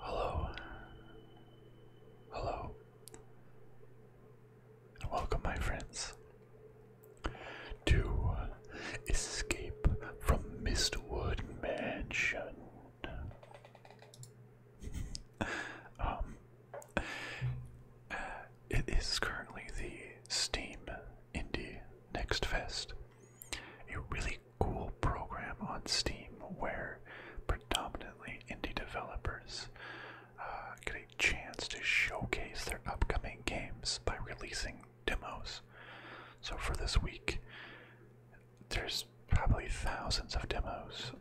Hello. Hello. welcome, my friends, to escape from Mistwood Mansion. um, uh, it is currently the Steam Indie Next Fest, a really cool program on Steam where predominantly indie developers uh, get a chance to showcase their upcoming games by releasing demos. So for this week, there's probably thousands of demos,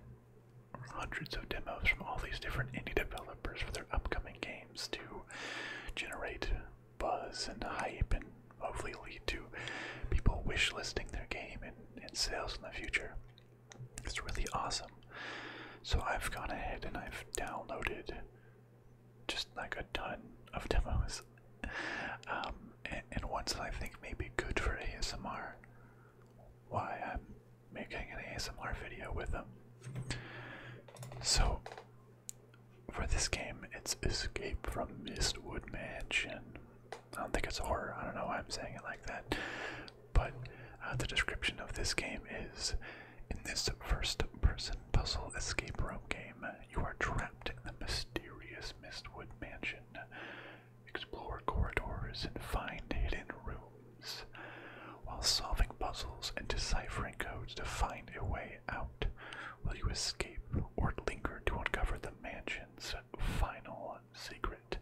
hundreds of demos from all these different indie developers for their upcoming games to generate buzz and hype and hopefully lead to people wish listing their game and, and sales in the future. It's really awesome. So I've gone ahead and I've downloaded just like a ton of demos, um, and, ones that I think may be good for ASMR. Why I'm making an ASMR video with them. So, for this game, it's Escape from Mistwood Mansion. I don't think it's horror. I don't know why I'm saying it like that. But uh, the description of this game is: In this first-person puzzle escape room game, you are trapped in the mysterious Mistwood Mansion. Explore corridors and find hidden rooms while solving puzzles and deciphering codes to find a way out. Will you escape or linger to uncover the mansion's final secret?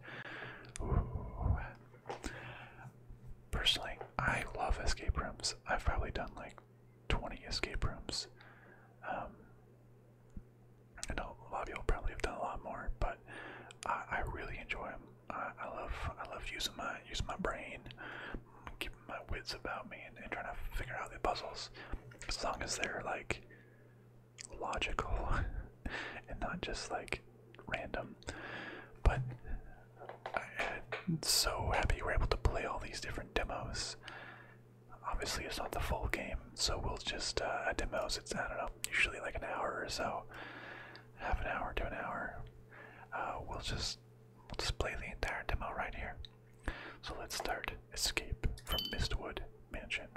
Personally, I love escape rooms. I've probably done like 20 escape rooms. Um, I know a lot of you will probably have done a lot more, but I, really enjoy them. I, love I love using my using my brain, keeping my wits about me, and, trying to figure out the puzzles. As long as they're like logical and not just like random. But I'm so happy you were able to play all these different demos obviously it's not the full game. So we'll just uh, at demos it's I don't know usually like an hour or so, half an hour to an hour. Uh, we'll just display the entire demo right here. So let's start Escape from Mistwood Mansion.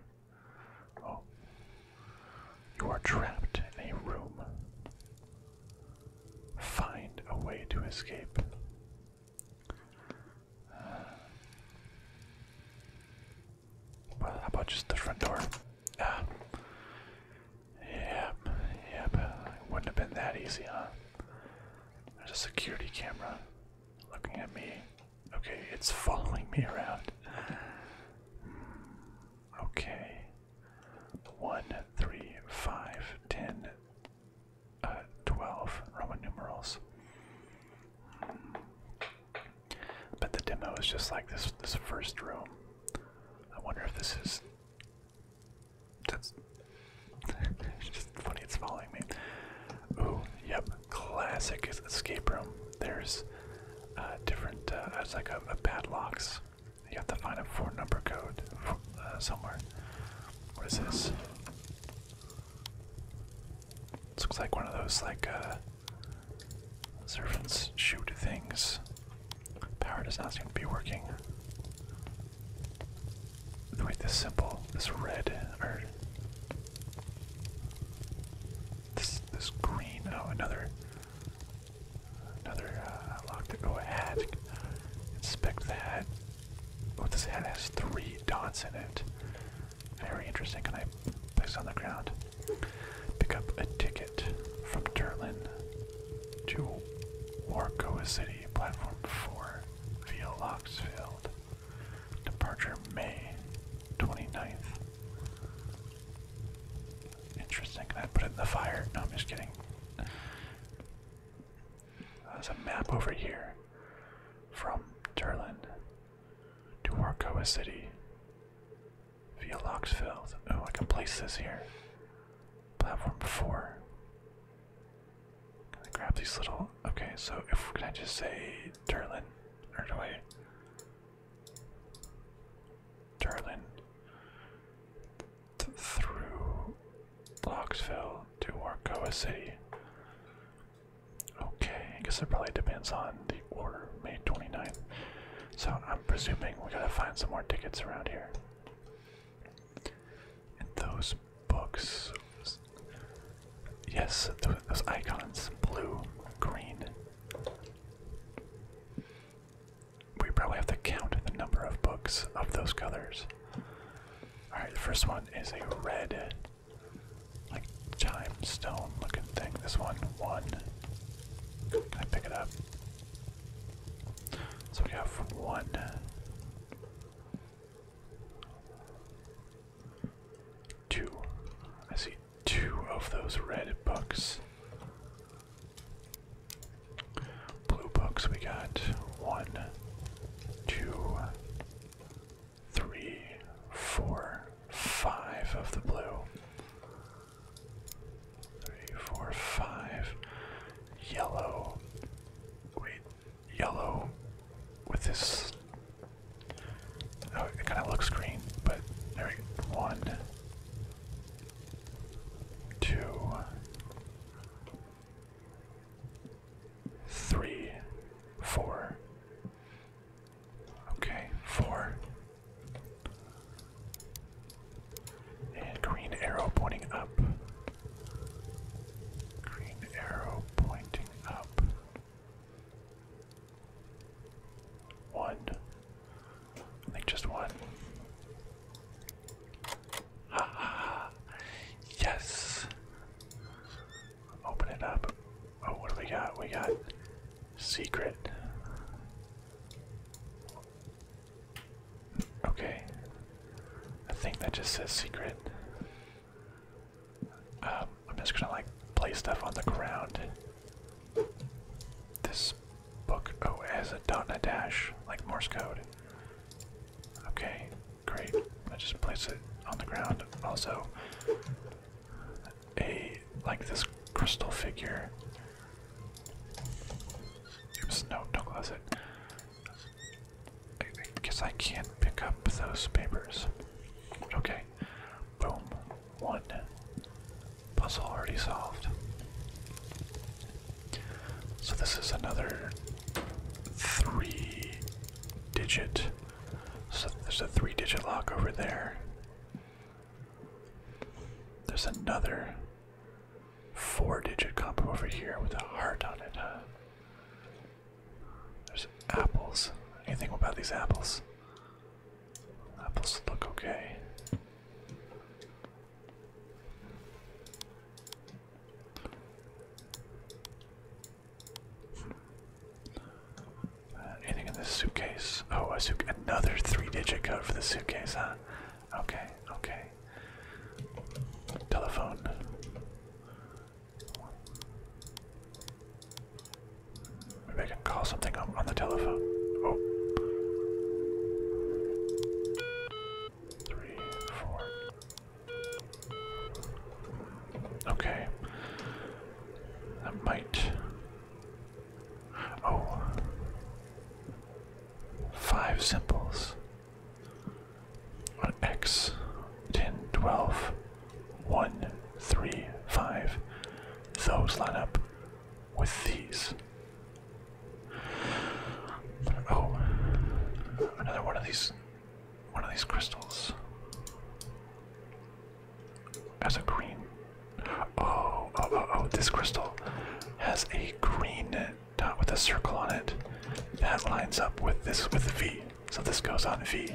Oh. You are trapped in a room. Find a way to escape how about just the front door? Yeah. Um, yep, yep. It wouldn't have been that easy, huh? There's a security camera looking at me. Okay, it's following me around. Hmm, okay. One, three, five, ten, uh, 12 Roman numerals. But the demo is just like this this first room. I wonder if this is that's it's just funny it's following me. Ooh, yep, classic escape room. There's uh, different, uh, it's like a, a padlocks. You have to find a four number code somewhere. What is this? This looks like one of those like uh servants shoot things. Power does not seem to be working. Wait, this simple, this red or this this green. Oh, another another uh, lock to go ahead. Inspect that. What does it has three dots in it. Very interesting. Can I place on the ground? Pick up a ticket from Turin to Warcoa City, platform 4, via Locksfield. Departure May 29th. Interesting. Can I put it in the fire? No, I'm just kidding. There's a map over here from Turlin to Warcoa City via Loxfield. Oh, I can place this here. Platform 4. Can I grab these little. Okay, so if can I just say Turlin? Or do I. Turlin through Locksville to Warkoa City. Okay, I guess it probably depends on the order, May 29th. So I'm presuming we gotta find some more tickets around here. And those books. Yes, those icons blue, green. We probably have to count the number of books of those colors. Alright, the first one is a red, like, time stone looking thing. This one, one. Can I pick it up? So we have one. Two. I see two of those red books. Blue books, we got one, two, three, four, five of the blue. Three, four, five. Yellow. Wait, yellow with this. Oh, it kind of looks green, but there we go. One, two, three, four. Okay, four. And green arrow pointing up. Green arrow pointing up. One. I just one. yes. Open it up. Oh, what do we got? We got secret. Okay. I think that just says secret. Um, I'm just gonna like play stuff on the ground. This book. Oh, it has a dot and a dash, like Morse code. Okay, great. I just place it on the ground. Also, a like this crystal figure. Oops, no, don't close it. I, I guess I can't pick up those papers. Okay, boom. One puzzle already solved. So this is another three digit. there's a three digit lock over there. There's another four digit combo over here with a heart on it, There's apples. Anything about these apples? Apples look okay. Uh, anything in this suitcase? Oh, a suit another three-digit code for the suitcase, huh? Okay, okay. Telephone. Maybe I can call something on, on the telephone. Oh. Three, four. Okay. That might. Oh. Five symbols. On X. ten, twelve, one, three, five. Those line up with these. Oh, another one of these, one of these crystals. Has a green. Oh, oh, oh, oh, This crystal has a green dot with a circle on it. That lines up with this with the V. So this goes on V.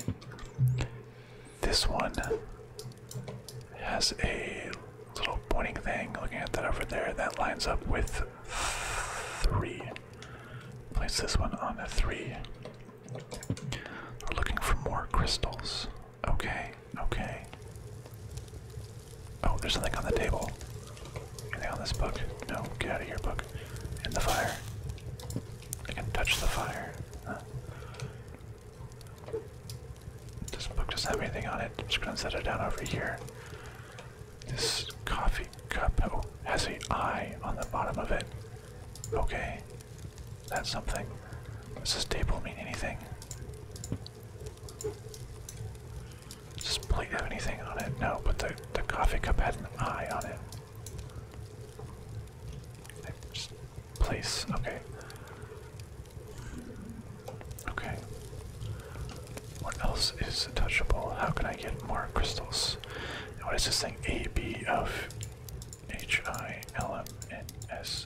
This one has a little pointing thing looking at that over there that lines up with three. Place this one on the three. We're looking for more crystals. Okay, okay. Oh, there's something on the table. Anything on this book? No, get out of here, book. In the fire. I can touch the fire. This book doesn't have anything on it. I'm just gonna set it down over here. This coffee cup oh, has an eye on the bottom of it. Okay, that's something. Does this table mean anything? Does this plate have anything on it? No, but the, the coffee cup had an eye on it. place, okay. Okay. What else is touchable? How can I get more crystals? What is this thing? A B of H I L M N S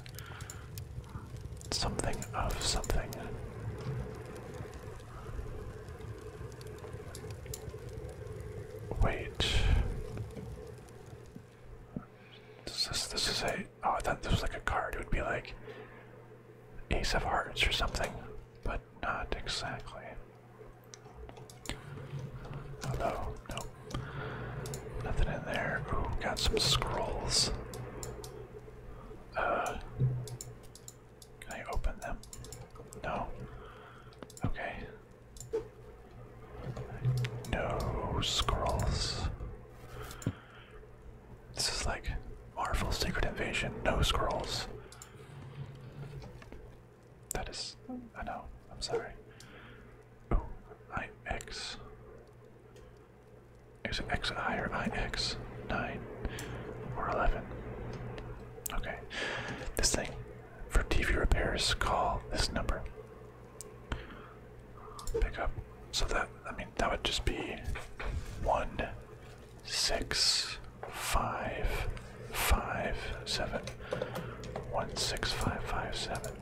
something of something. Wait. This this is a oh I thought this was like a card. It would be like Ace of Hearts or something but not exactly. Although, nope. Nothing in there. Ooh, got some scrolls. Uh, can I open them? No. Okay. No scrolls. This is like Marvel Secret Invasion, no scrolls. That is, I know, I'm sorry. Oh, IX. Is it XI or IX? 9 or 11. Okay. This thing, for TV repairs, call this number. Pick up. So that, I mean, that would just be one six five five seven one six five five seven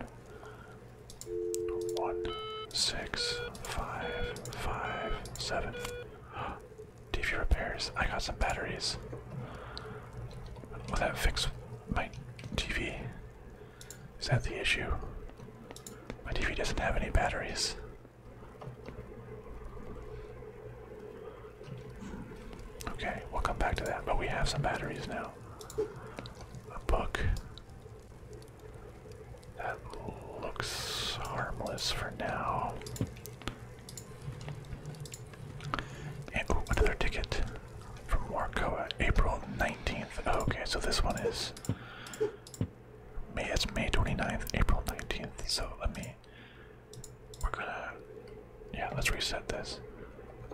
one six five five seven TV repairs. I got some batteries. Will that fix my TV? Is that the issue? My TV doesn't have any batteries. Okay, we'll come back to that, but we have some batteries now. A book. That looks harmless for now. And ooh, another ticket from Warcoa, uh, April 19th. okay, so this one is May. It's May 29th, April 19th. So let me we're gonna, yeah, let's reset this.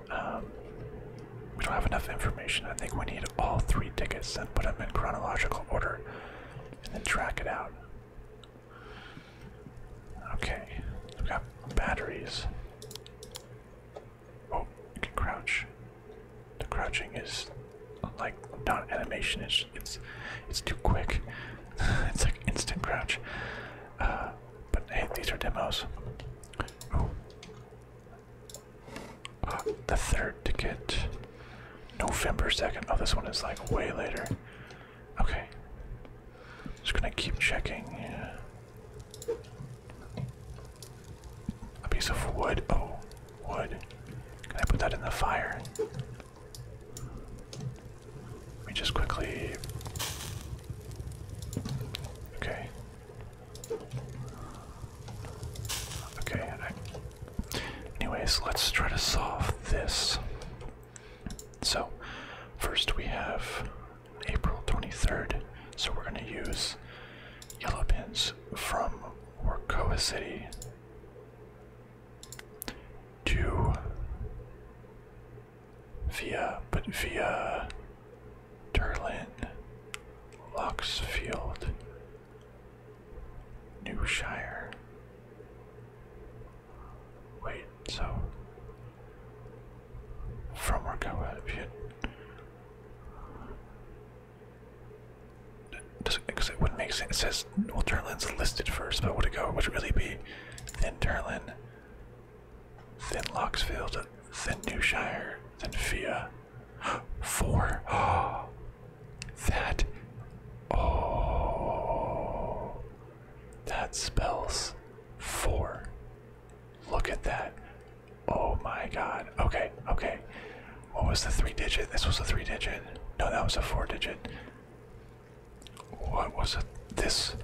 Um, we don't have enough information. I think we need all three tickets and put them in chronological order and then track it out. Okay, we batteries. Oh, crouch. The crouching is like not animation. It's it's it's too quick. it's like instant crouch. Uh, but hey, these are demos. Oh, the third ticket, November second. Oh, this one is like way later. Okay, just gonna keep checking. A piece of wood. Oh, wood. Can I put that in the fire? Let me just quickly. Okay. Okay. Anyways, let's try to solve this. So, first we have April 23rd, so we're going to use yellow pins from Warkoa City to via, but via Turlin, Luxfield, Newshire. Wait, so from Rakawa, because it wouldn't make sense. It says well, Derlin's listed first, but would it go? Would it really be then Derlin, then Locksfield, then Newshire, then Fia? Four. that. Oh, that spells four. Look at that. Oh my god. Okay, okay. What was the three digit? This was a three digit. No, that was a four digit. What was it? This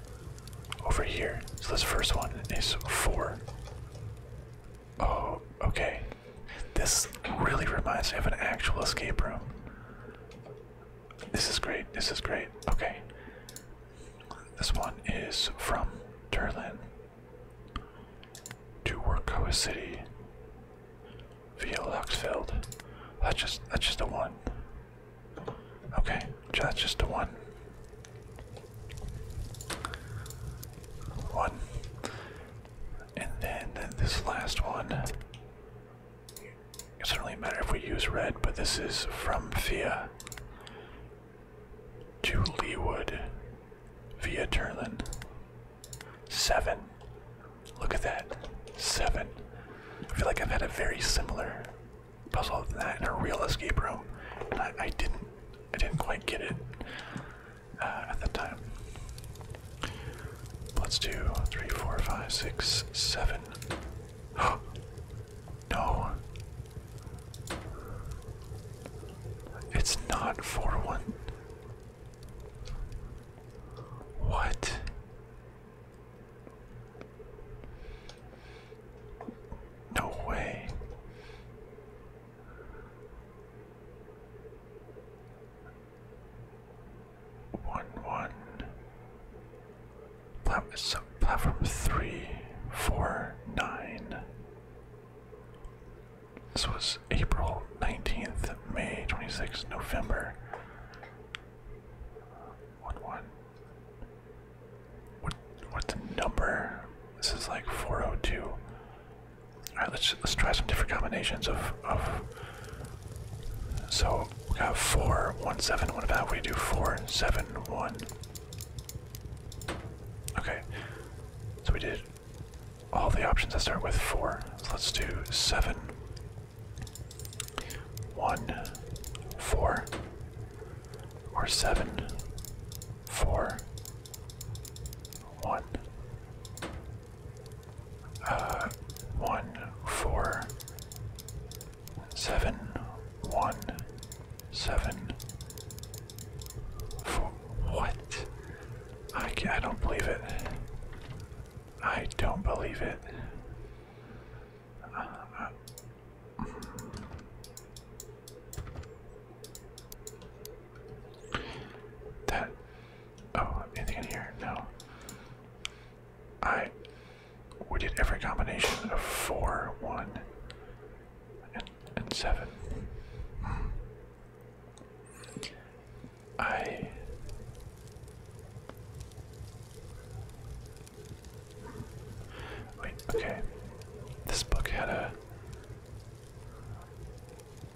over here. So this first one is four. Oh, okay. This really reminds me of an actual escape room. This is great. This is great. Okay. This one is from Durlin to Workoa City. Via Luxfield. That's just that's just a one. Okay, that's just a one. One. And then this last one. It doesn't really matter if we use red, but this is from Via to Leewood via Turlin. Seven. Look at that. Seven. I feel like I've had a very similar puzzle than that in a real escape room, and I, didn't, I didn't quite get it uh, at the time. Let's do three, four, five, six, seven. no. It's not four one. What? No way. One one. Plat so platform three four nine. This was April nineteenth, May twenty sixth, November. One one. What what's the number? This is like four oh two. Alright, let's let's try some different combinations of of so we got four one seven. What about we do four seven one? Okay. So we did all the options that start with four. So let's do seven one, four, or seven, four, one. Uh, one, four, seven, one, seven, four. What? I, I don't believe it. I don't believe it. that. Oh, anything here? No. I. We did every combination of 4, 1, and, and 7. I wait, okay. This book had a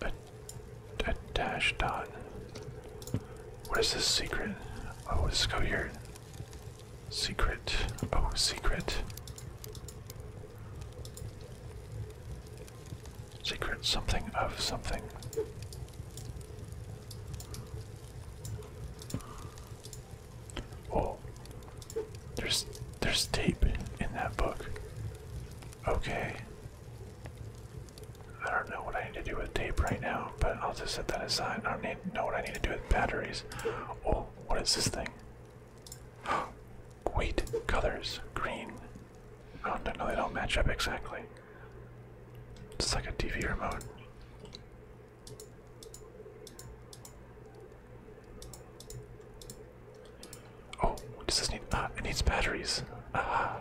a, dash dot. What is this secret? Oh, let's go here. Secret. Oh, secret. Secret something of something. Oh, there's there's tape in that book. Okay. I don't know what I need to do with tape right now, but I'll just set that aside. I don't need know what I need to do with batteries. Oh, what is this thing? Wait, colors green. Oh no, no, they don't match up exactly. It's like a TV remote. Oh, does this need? Ah, it needs batteries. Ah.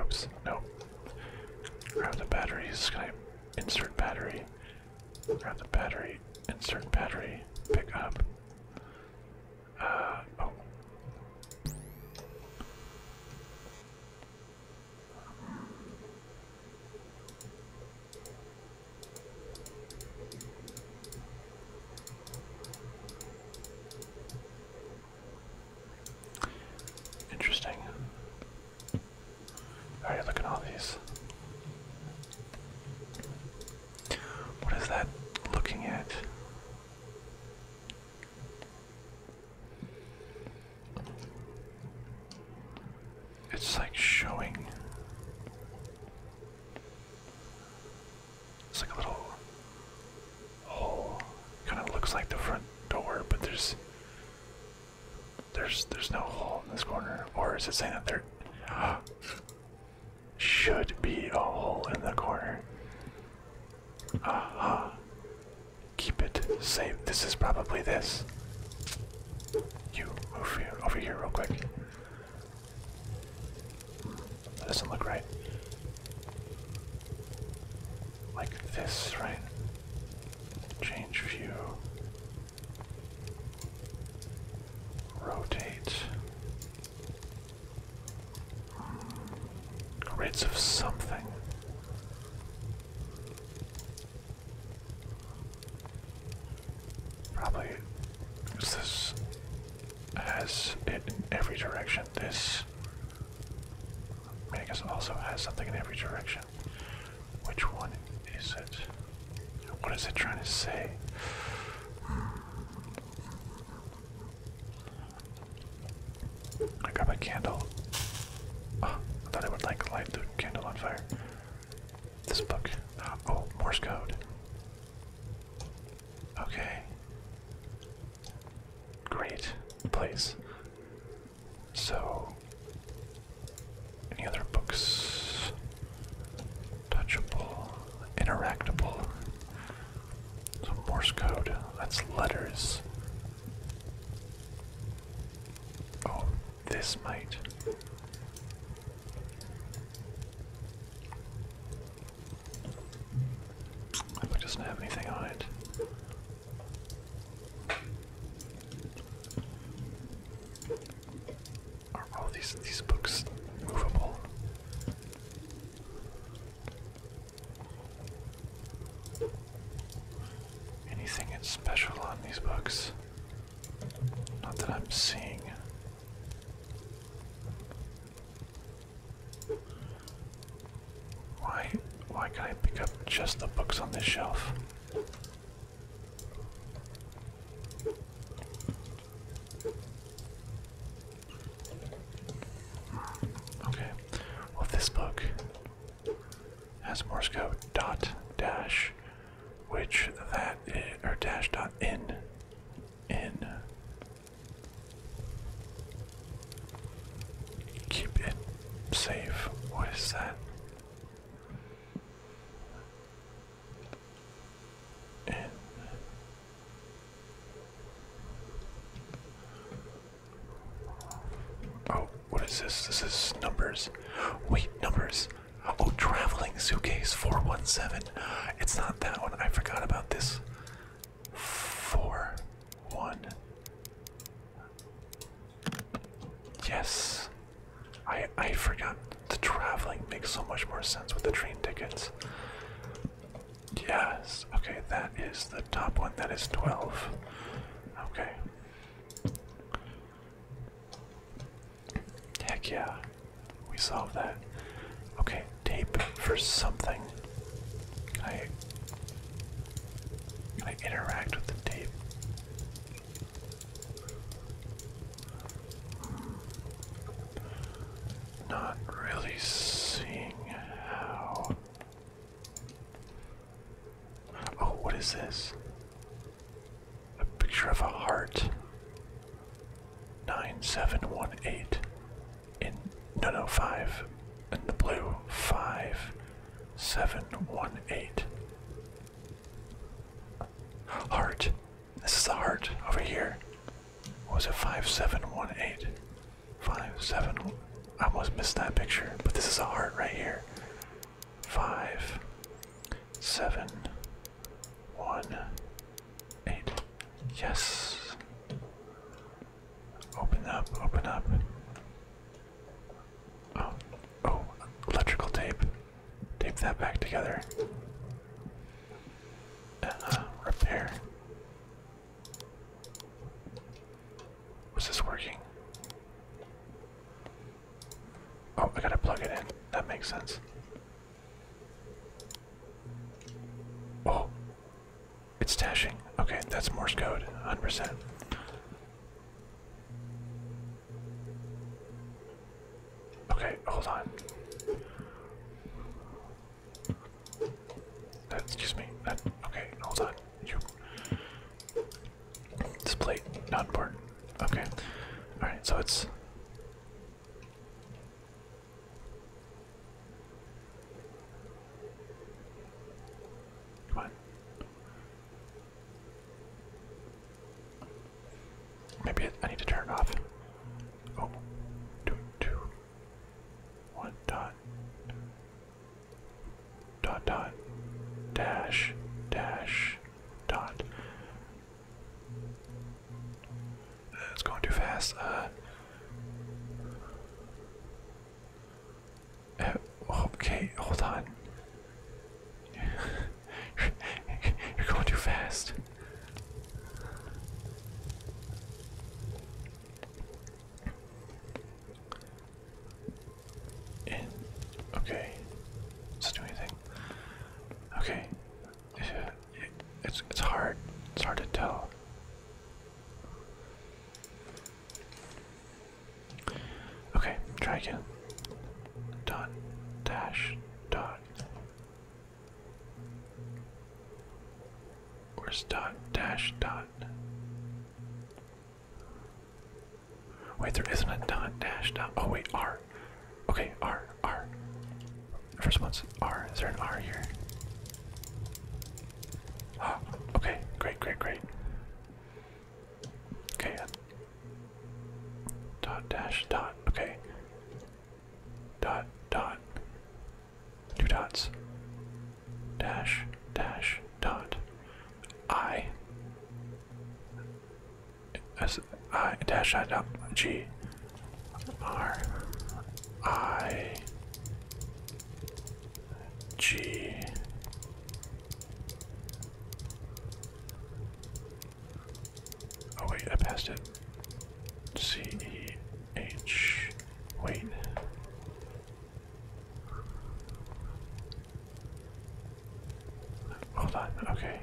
Oops. No. Grab the batteries. Can I insert battery? Grab the battery. Insert battery. Pick up. Uh, oh. Interesting. All right, at all these. What is that looking at? It's like showing. It's like a little hole. Kind of looks like the front door, but there's there's there's no hole in this corner. Or is it saying that there? should be a hole in the corner. Aha. Keep it safe. This is probably this. You move here, over here real quick. That doesn't look right. Like this, right? Change view. Rotate. Grids of something. Probably, because this has it in every direction. This, I, also has something in every direction. Which one is it? What is it trying to say? I grab a candle. Ah, I thought I would like light the candle on fire. This book. Oh, Morse code. Okay. Great place. So, any other books? Touchable interactable. So Morse code, that's letters. Oh, this mate. That book not have anything on it. Are all these these books movable? Anything that's special on these books? Not that I'm seeing. Why why can I pick up just the books on this shelf? Okay. Well, this book has Morse code dot dash, which that is, or dash dot in in. Keep it safe. What is that? Oh, what is this? This is numbers. Wait, numbers. Oh, traveling suitcase 417. It's not that one. I forgot about this. 4 1. Yes. I I forgot the traveling makes so much more sense with the train tickets. Yes. Okay, that is the top one. That is 12. Okay. Heck yeah. We solved that. Okay, tape for something. Can I, interact with the tape? Not really seeing how. Oh, what is this? A picture of a heart. 9718. In. No, 5. In the blue. 5718. Heart. This is the heart over here was it? 5718. 57. I almost missed that picture, but this is a heart right here. Five seven one eight. Yes. Open up, open up. Oh, oh, electrical tape. Tape that back together. Uh, repair. Was this working? Oh, I gotta plug it in. That makes sense. Oh, it's tashing. Okay, that's Morse code, 100%. Okay, hold on. That, excuse me. That, okay, hold on. You. This plate, not important. Okay. Alright, so it's. Come Maybe I need to turn it off. Oh, two, two. One dot dot dot dash dash dot. It's going too fast. Uh, eh, okay, hold on. You're going too fast. And okay, does it do anything? Okay, it's it's hard. It's hard to tell. Okay, try again. Dot dash dot Where's dot dash dot? Wait, there isn't a dot dash dot. Oh, wait, R. Okay, R, R. First one's R. Is there an R here? Ah, okay, great, great, great. Okay, dot dash dot. Okay, dot dot. Two dots. Dash, dash, dot. I. S I dash I dot G R I G Oh wait, I passed it. C E H. Wait. Hold on, okay.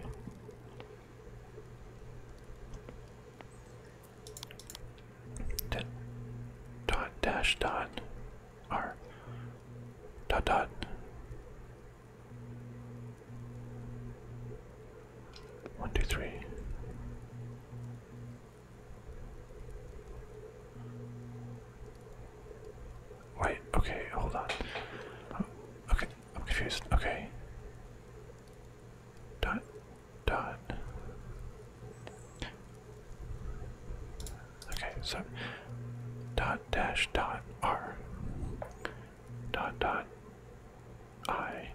Dot, dash dot R dot dot one, two, three. Wait, okay, hold on. okay, I'm confused. Okay. Dot, dot. Okay, so dot dash dot R. Dot dot I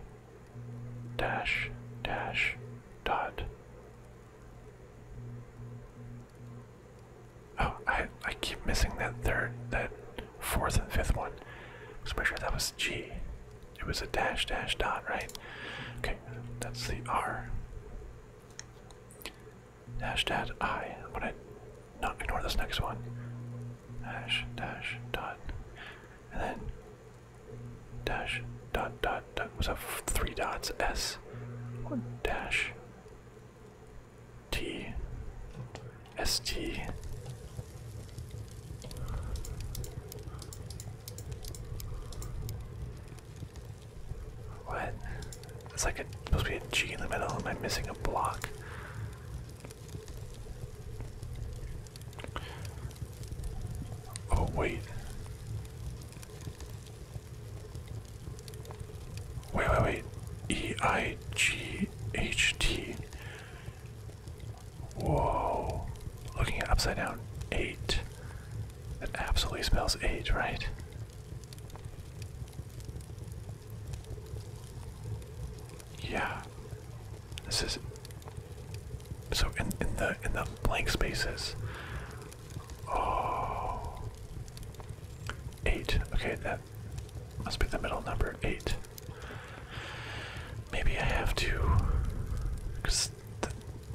dash dash dot. Oh, I I keep missing that third, that fourth and fifth one. So make sure that was G. It was a dash dash dot, right? Okay, that's the R. Dash dash I. I'm gonna not ignore this next one. Dash dash dot. And then dash dot dot dot was that three dots S one dash T S T What? It's like a supposed to be a G in the middle. Am I missing a block? Oh, wait. Wait, wait, wait. E I G H T. Whoa. Looking at upside down. Eight. That absolutely spells eight, right? Yeah. This is so in in the in the blank spaces. Oh. Okay, that must be the middle number. Eight. Maybe I have to, because the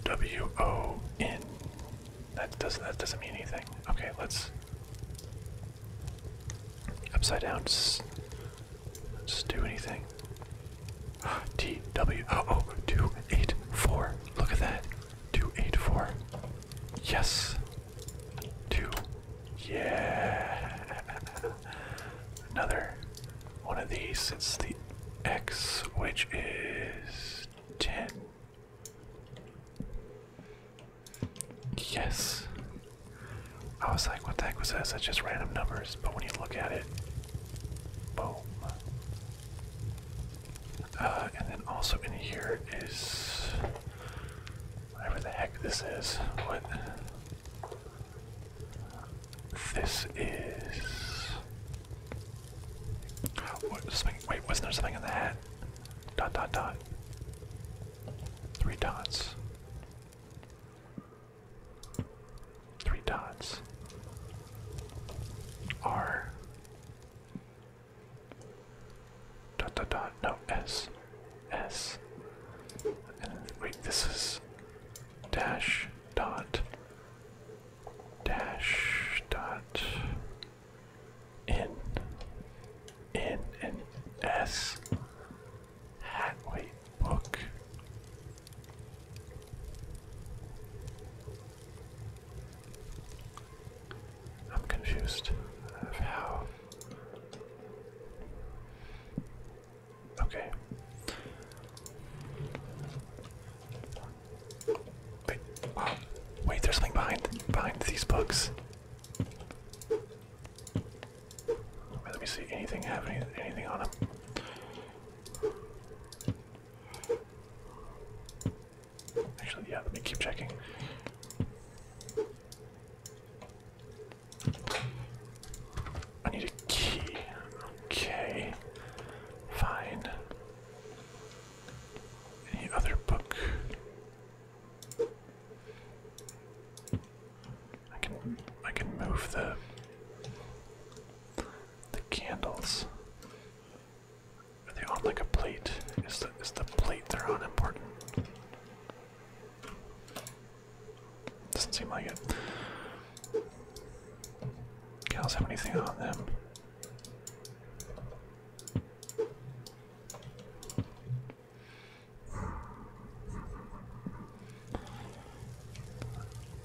W O N. That doesn't that doesn't mean anything. Okay, let's upside down. Let's do anything. TW oh, oh 284. Look at that. 284. Yes. 2. Yeah. Another one of these. It's the X, which is 10. Yes. I was like, what the heck was that?" It's just random numbers. But when you look at it, boom. Uh, and then also in here is whatever the heck this is. What? This is. What, wait, wasn't there something in the hat? Dot dot dot. Three dots three dots R dot dot dot no S S and wait this is dash dot dash dot N. N N S. Hat wait book. I'm confused of how. Okay. wait, there's something behind behind these books let me see. Anything have anything on him? Actually, yeah. Let me keep checking. I need a key. Okay. Fine. Any other book? I can I can move the the candles. Are they on like a plate? Is the is the plate they're on important? Doesn't seem like it. Candles have anything on them?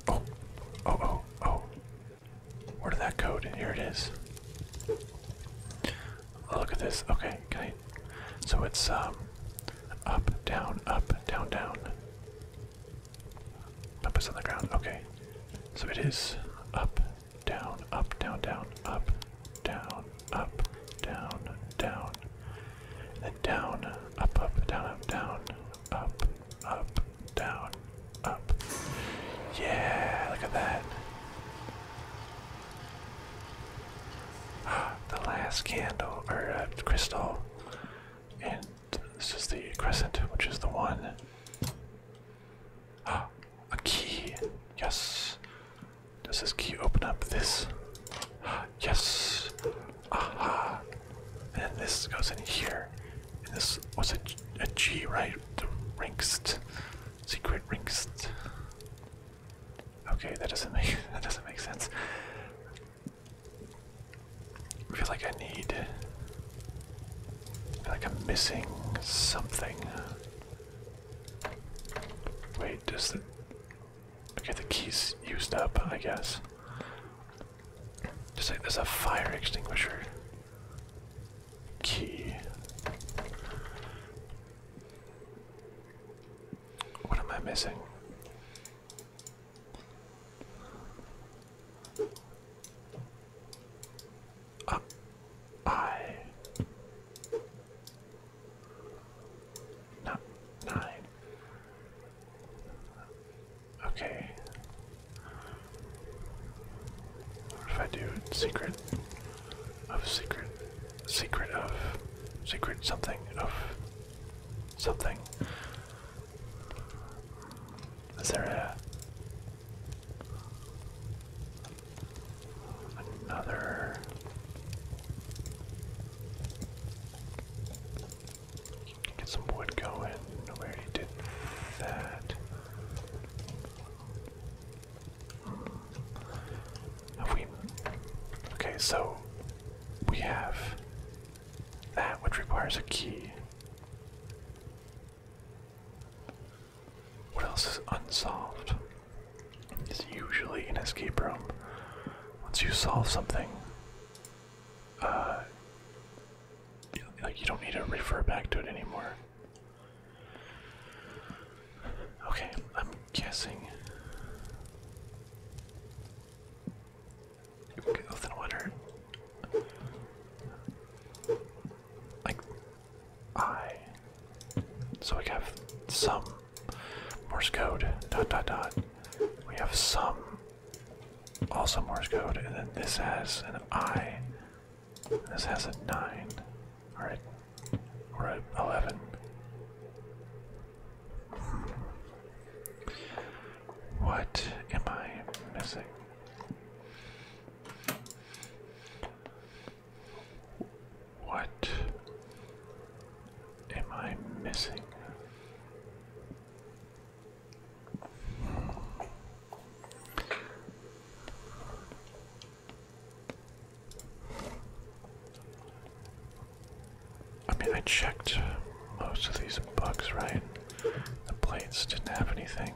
Oh, oh, oh, oh. Where did that go? Here it is. Oh, look at this. Okay, can So it's um, up, down, up, down, down. Up is on the ground. Okay. So it is up, down, up, down, down, up, down, up, down, down, and down, up, up, down, up, down, up, up, down, up. Yeah, look at that. The last candle, or uh, crystal, and this is the crescent, which is the one. Ah, a key. Yes. Does this key open up this? Yes. Aha! And then this goes in here. And this was a, a G, right? The Rinkst. Secret ringst. Okay, that doesn't make that doesn't make sense. I feel like I need I feel like I'm missing something. Wait, does the I get the key's used up, I guess. Just like there's a fire extinguisher key. What am I missing? Uh, I not nine. Okay. What if I do secret of secret, secret of secret something of something? Is there another Get some wood going. We did that. Have we? Okay, so we have that, which requires a key. What else is unsolved? It's usually an escape room. Once you solve something, like uh, you don't need to refer back to it anymore. Okay, I'm guessing. Okay, then like I? So we have some Morse code, dot dot dot. We have some, also Morse code, and then this has an I, this has a 9, alright, or an 11. What am I missing? What am I missing? I mean, I checked most of these bugs, right? The plates didn't have anything.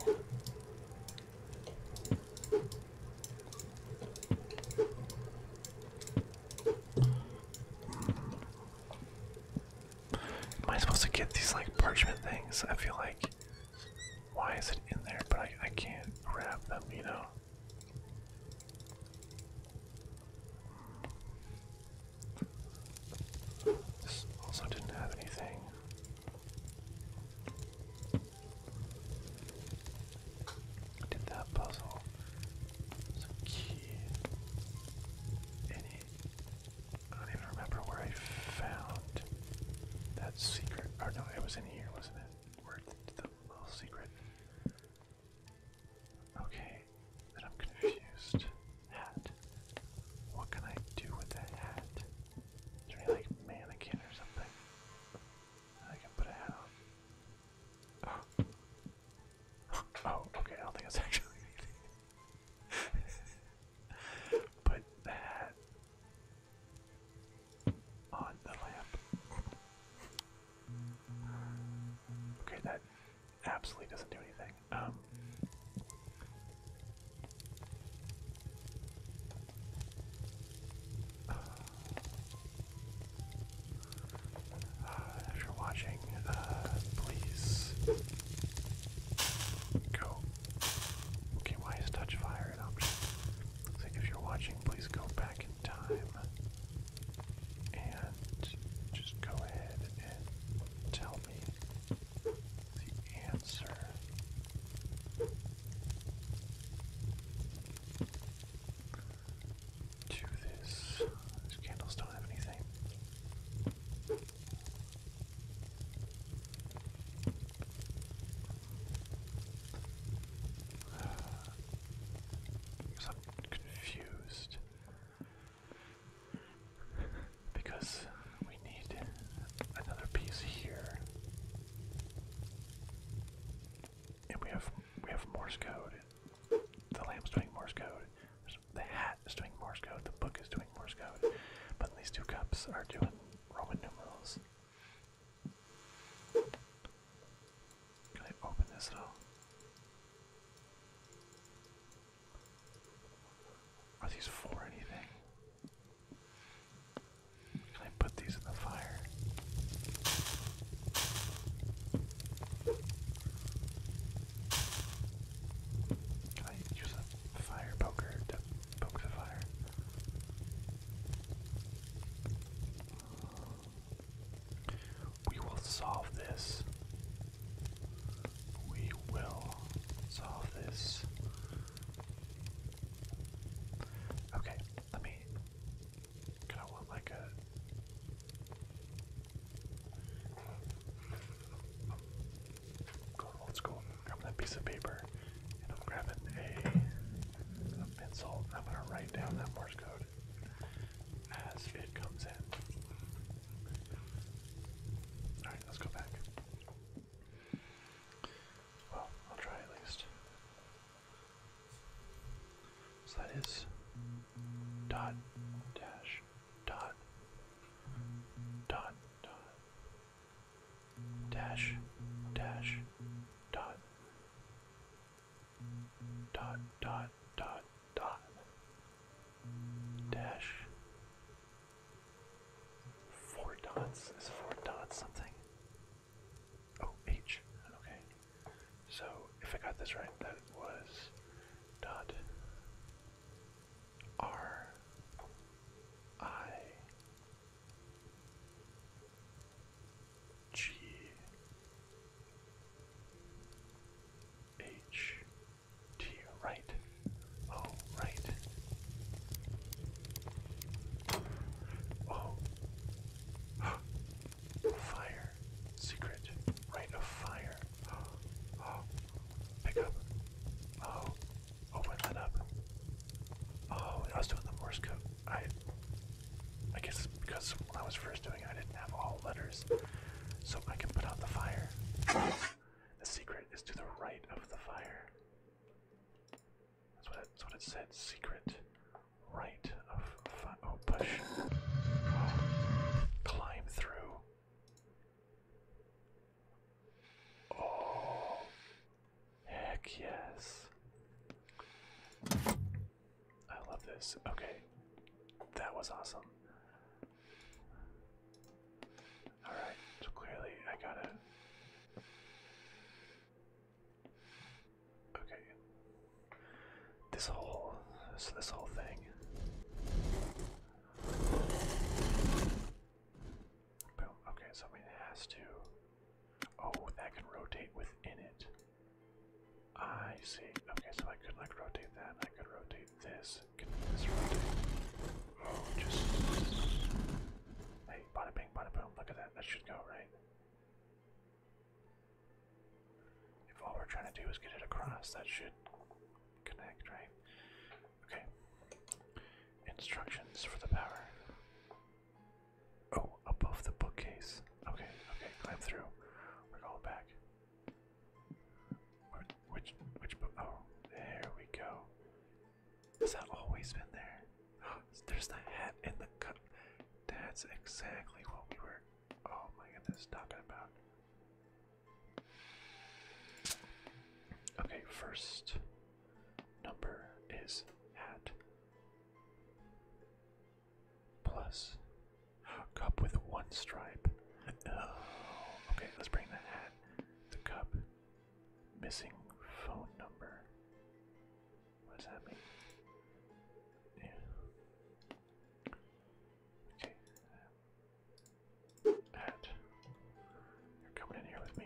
Am I supposed to get these like parchment things? I feel like. Why is it in there? But I, I can't grab them, you know? also didn't have anything. did that puzzle. Some key in I don't even remember where I found that secret. Or oh, no, it was in here, wasn't it? Where the little secret. Okay, then I'm confused. Hat. What can I do with that hat? Is there like mannequin or something? I can put a hat Oh. okay, I don't think that's actually anything. Put that on the lamp. Okay, that absolutely doesn't do anything. Um, if you're watching, uh, please go. Okay, why is touch fire an option? like if you're watching, please go back in time and just go ahead and tell me the answer to this. These candles don't have anything. Because I'm confused. because we need another piece here. And we have we have Morse code the lamp's doing Morse code, the hat is doing Morse code, the book is doing Morse code, but these two cups are doing Roman numerals. Can I open this at all? Are these for anything? Can I put these in the fire? Can I use a fire poker to poke the fire? We will solve this. We will solve this. Okay, let me Kind of like a. Go old school. that piece of paper, and I'm grabbing a, a pencil. I'm gonna write down that Morse code as it comes in. All right, let's go back. Well, I'll try at least. So that is dot dash dot dot dot dash dash dot dot dot dot dot dash four dots is four dots something oh h okay so if I got this right, that was dot R I G H T right. Oh right. Oh. Fire. Secret. Right of fire. Oh. Pick up. Oh. Open that up. Oh, I was doing the Morse code. I I guess because when I was first doing it I didn't have all letters. So I can put out the fire. The secret is to the right of the fire. That's what it, that's what it said. Secret right of oh, push. Oh, climb through. Oh, heck yes. I love this. Okay, that was awesome. Alright, so clearly I gotta. Okay, this whole so this whole thing. Boom. Okay, so I mean to Oh, that can rotate within it. I see. Okay, so I could like rotate that, I could rotate this. Can this rotate? Oh, just Hey, boom, look at that. That should go, right? If all we're trying to do is get it across, that should connect, right? Okay. Instructions for the power. Oh, above the bookcase. Okay, okay, climb through. We're going back. which, which book? Oh, there we go. Has that always been there? There's the hat in the cup. That's exactly what we were Oh my goodness, talking about. Okay, first number is hat plus cup with one stripe. okay, let's bring the hat, the cup, missing phone number. What does that mean? Okay. You're coming in here with me.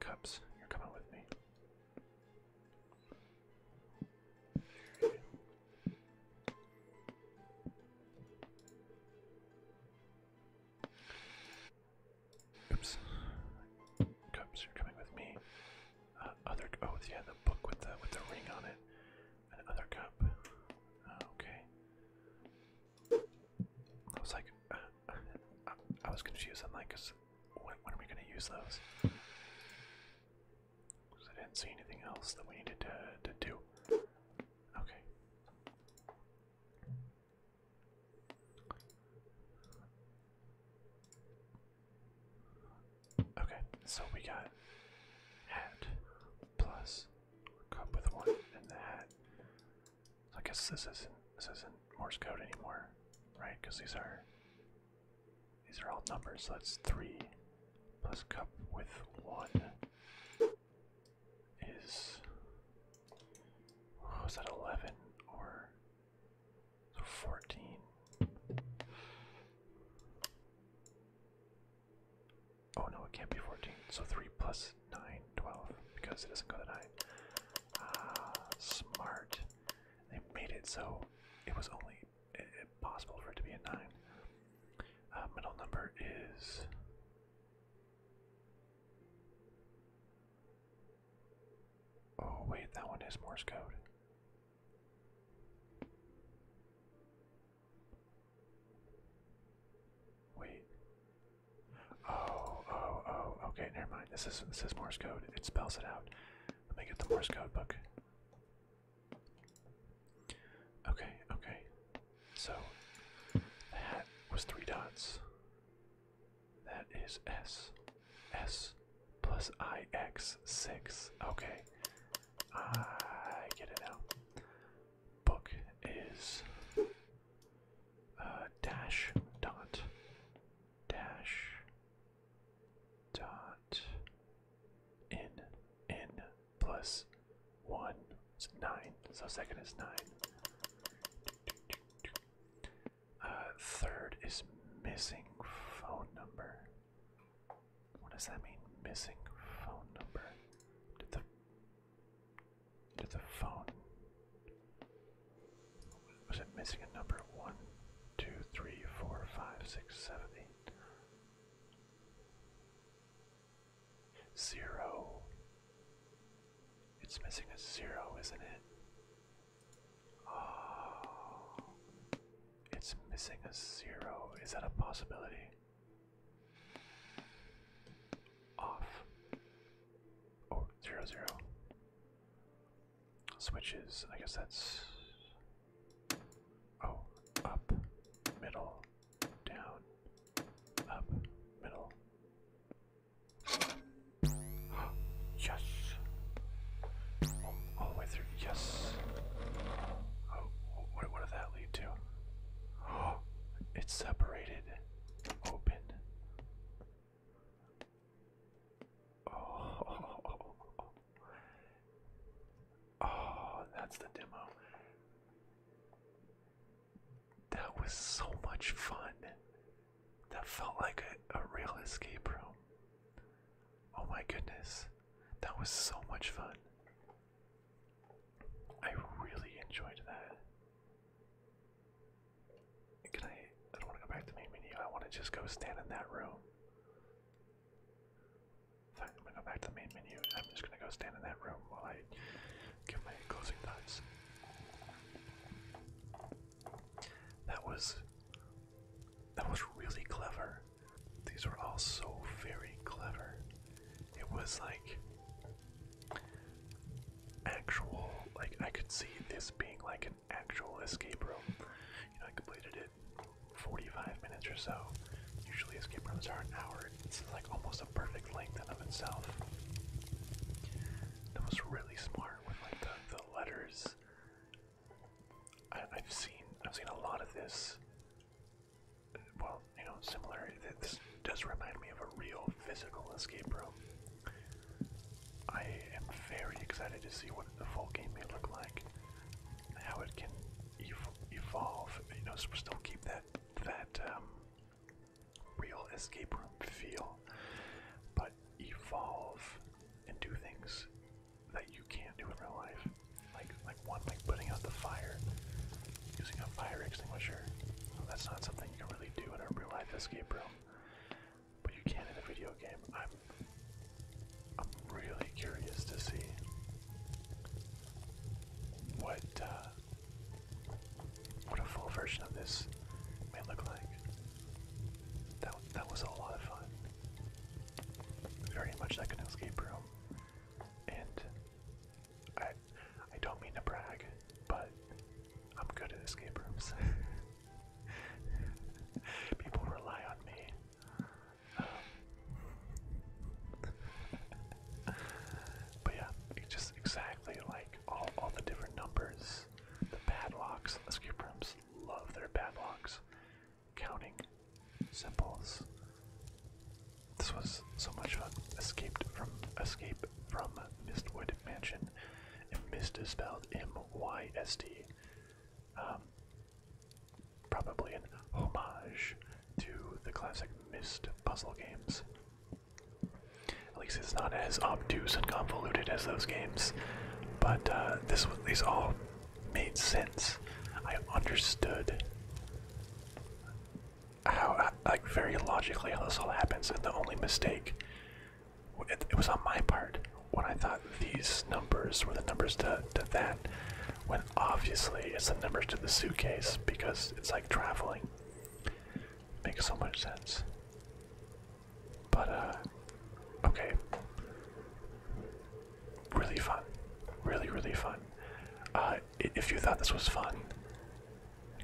Cups, you're coming with me. Oops. Cubs, you're coming with me. Uh, other. Oh, yeah, the book with the with the ring on it. Another cup. Oh, okay. I was like, uh, I was confused. I'm like, cause when, when are we gonna use those? Cause I didn't see anything else that we needed to to do. Okay. Okay, so we got hat plus cup with one and the hat. I guess this isn't this isn't Morse code anymore, right? Because these are these are all numbers. So that's three plus cup with one is. Oh, is that eleven or so 14. Oh no, it can't be 14. So 3 plus 9, 12, because it doesn't go to 9. Ah, smart. They made it so it was only possible for it to be a 9. Uh, middle number is Oh, wait, that one is Morse code. Wait. Oh, oh, oh, okay, never mind. This is this is Morse code. It spells it out. Let me get the Morse code book. Okay, okay. So that was three dots. That is S. S plus IX 6. Okay. I get it now. Book is uh, dash dot dash dot n n plus 1 is 9. So second is 9. Uh, third is missing phone number. What does that mean? Missing phone number. Did the did the phone was it missing a number? One, two, three, four, five, six, seven, eight. Zero. It's missing a zero, isn't it? Oh, it's missing a zero. Is that a possibility? Off. oh, zero zero. Switches. I guess that's. Oh, up, middle, down, up, middle, yes. Oh, all Yes. Oh, what, did that lead to? it's separated. Open. Oh. Oh, that's the demo. That was so much fun. That felt like a, real escape room. Oh my goodness, that was so much fun. I really enjoyed that. Can I? I don't want to go back to main menu. I want to just go stand in that room. I'm gonna go back to the main menu. I'm just gonna go stand in that room while I give my closing thoughts. That was that was really clever. These were all so very clever. It was like actual like I could see this being like an actual escape room. You know, I completed it 45 minutes or so. Usually escape rooms are an hour. It's like almost a perfect length in of itself. That was really smart with like the letters I, have seen I've seen a lot of this. Well, you know, similar. This does remind me of a real physical escape room. I am very excited to see what the full game may look like, how it can evolve. You know, still keep that that um, real escape room feel, but evolve and do things that you can't do in real life. Like like one like putting out the fire using a fire extinguisher. that's not something you can really do in a real life escape room. But you can in a video game. I'm I'm really curious to see what uh, what a full version of this may look like. That that was a lot of fun. Very much like an escape room, and I I don't mean to brag, but I'm good at escape rooms. People rely on me. Um, but yeah, just exactly like all all the different numbers the padlocks. Escape rooms love their padlocks. Counting symbols. This was so much fun. Escaped from escape from Mistwood Mansion. And Mist is spelled M-Y-S-T. Um, probably an homage to the classic mist puzzle games. At least it's not as obtuse and convoluted as those games. But uh, this these all made sense. I understood how, uh, like, very logically how this all happens, and the only mistake it was on my part when I thought these numbers were the numbers to, to that. When obviously it's the numbers to the suitcase because it's like traveling. Makes so much sense. But, uh, okay. Really fun. Really, really fun. Uh, if you thought this was fun,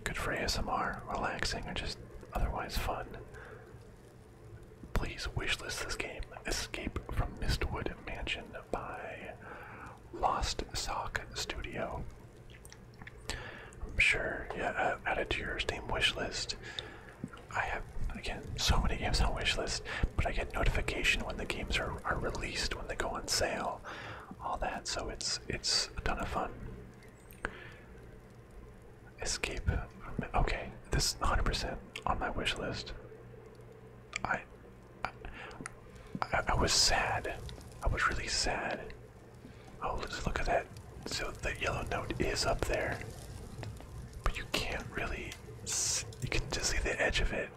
good for ASMR, relaxing, or just otherwise fun, please wishlist this game Escape from Mistwood Mansion by Lost Sock Studio. I'm sure. Yeah, uh, added to your Steam wish list. I have again so many games on wish list, but I get notification when the games are, are released, when they go on sale, all that. So it's it's a ton of fun. Escape. Okay, this 100% on my wish list. I, I was sad. I was really sad Oh, let's look at that. So the yellow note is up there, but you can't really. You can just see the edge of it.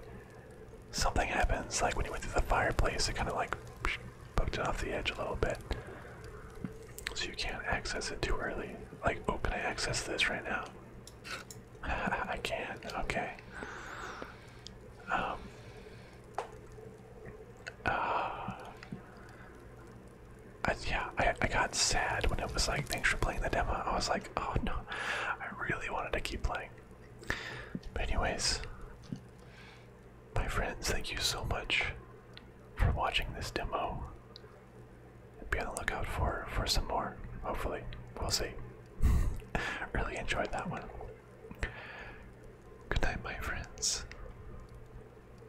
Something happens, like when you went through the fireplace, it kind of like poked it off the edge a little bit. So you can't access it too early. Like, oh, can I access this right now? I can. not Okay. Um. Uh, yeah, I, I got sad when it was like, thanks for playing the demo. I was like, oh no, I really wanted to keep playing. But anyways, my friends, thank you so much for watching this demo. Be on the lookout for for some more. Hopefully, we'll see. really enjoyed that one. Good night, my friends.